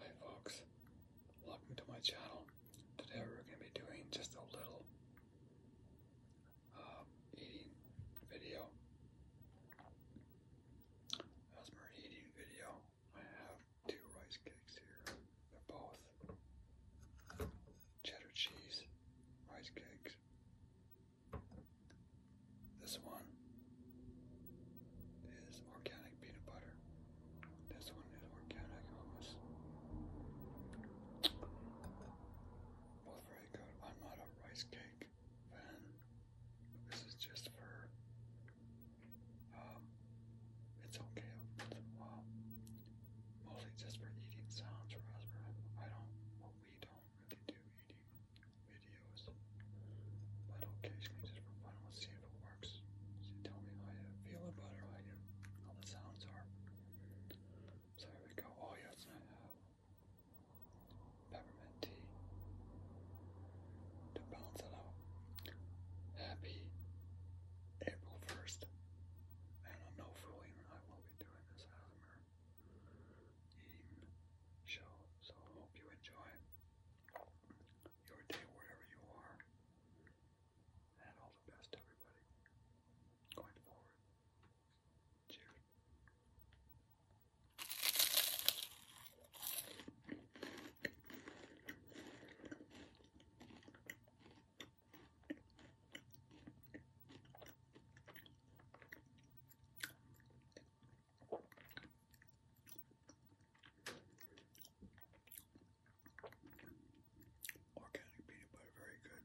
Hi folks, welcome to my channel. Today we're going to be doing just a little uh, eating video. As my eating video, I have two rice cakes here. They're both cheddar cheese rice cakes. This one is organic peanut butter. This one is organic hummus. Both very good. I'm not a rice cake fan. This is just for. Um, it's okay Mostly just for eating sounds, raspberry. I don't. we don't really do eating videos, but occasionally just for fun, let's see if it works. So tell me how you feel about it, how, the sounds are. So here we go. Oh yes, I have peppermint tea to balance Happy April 1st. And I'm no fooling, I will be doing this ASMR eating show, so hope you enjoy your day wherever you are. And all the best everybody going forward. Cheers. Organic peanut butter, very good.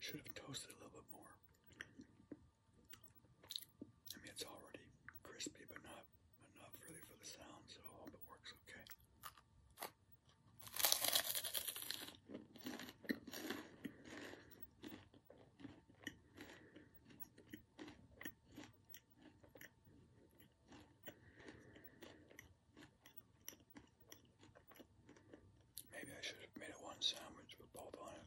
Should have toasted a little bit more. I mean, it's already crispy, but not enough really for the sound, so hope it works okay. Maybe I should have made it one sandwich with both on it.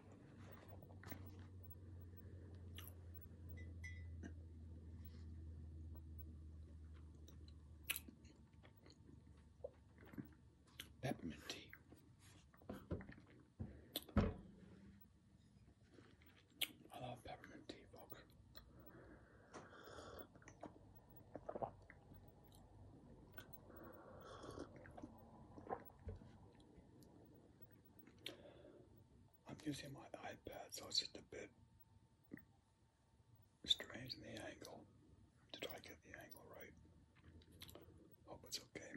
Peppermint tea. I love peppermint tea, folks. I'm using my iPad, so it's just a bit strange in the angle to try get the angle right. Hope it's okay.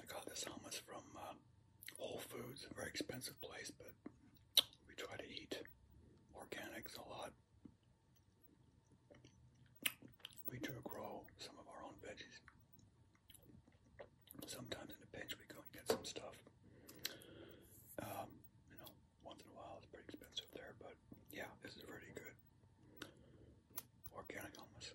I got this hummus from uh, Whole Foods, a very expensive place, but we try to eat organics a lot. We do grow some of our own veggies. Sometimes in a pinch we go and get some stuff. Um, you know, once in a while it's pretty expensive there, but yeah, this is really good. Organic hummus.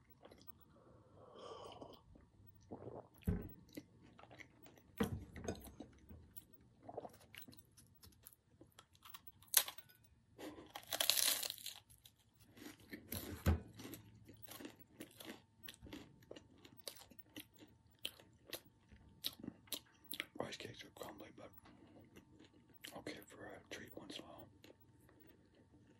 Rice cakes are crumbly, but okay for a treat once in a while.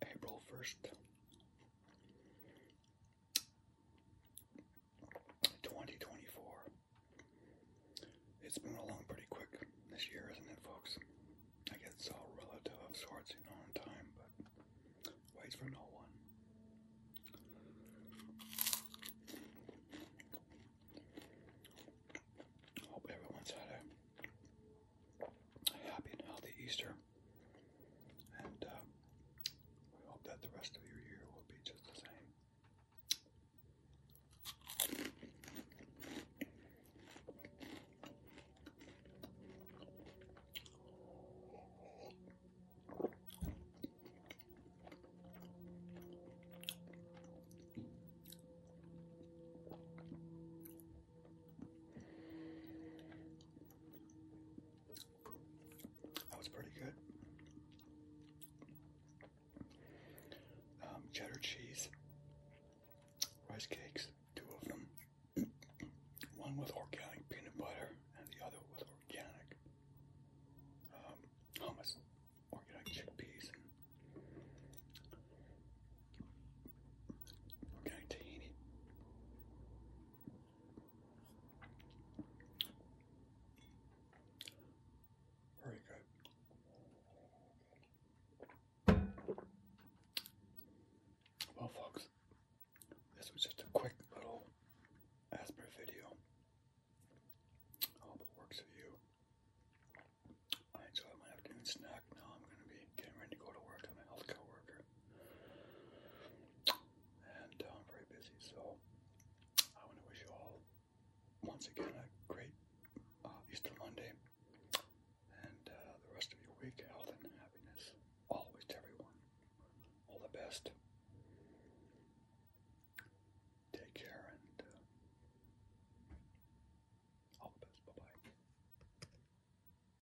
April 1st 2024. It's been along pretty quick this year, isn't it, folks? I guess it's all relative of sorts, you know, in time, but waits for no one. Hope everyone's had a happy and healthy Easter. And um, we hope that the rest of your year will be just the same. That was pretty good. Um, cheddar cheese, rice cakes, two of them. One with organic peanut butter and the other with organic um, hummus, organic chickpeas, organic tahini. Very good. Well, folks, this was just a quick little Asper video. hope it works for you. I enjoyed my afternoon snack. Now I'm going to be getting ready to go to work. I'm a healthcare worker. And uh, I'm very busy, so I want to wish you all once again a great uh, Easter Monday and uh, the rest of your week, health and happiness, always to everyone. All the best. Take care and all the best. Bye bye.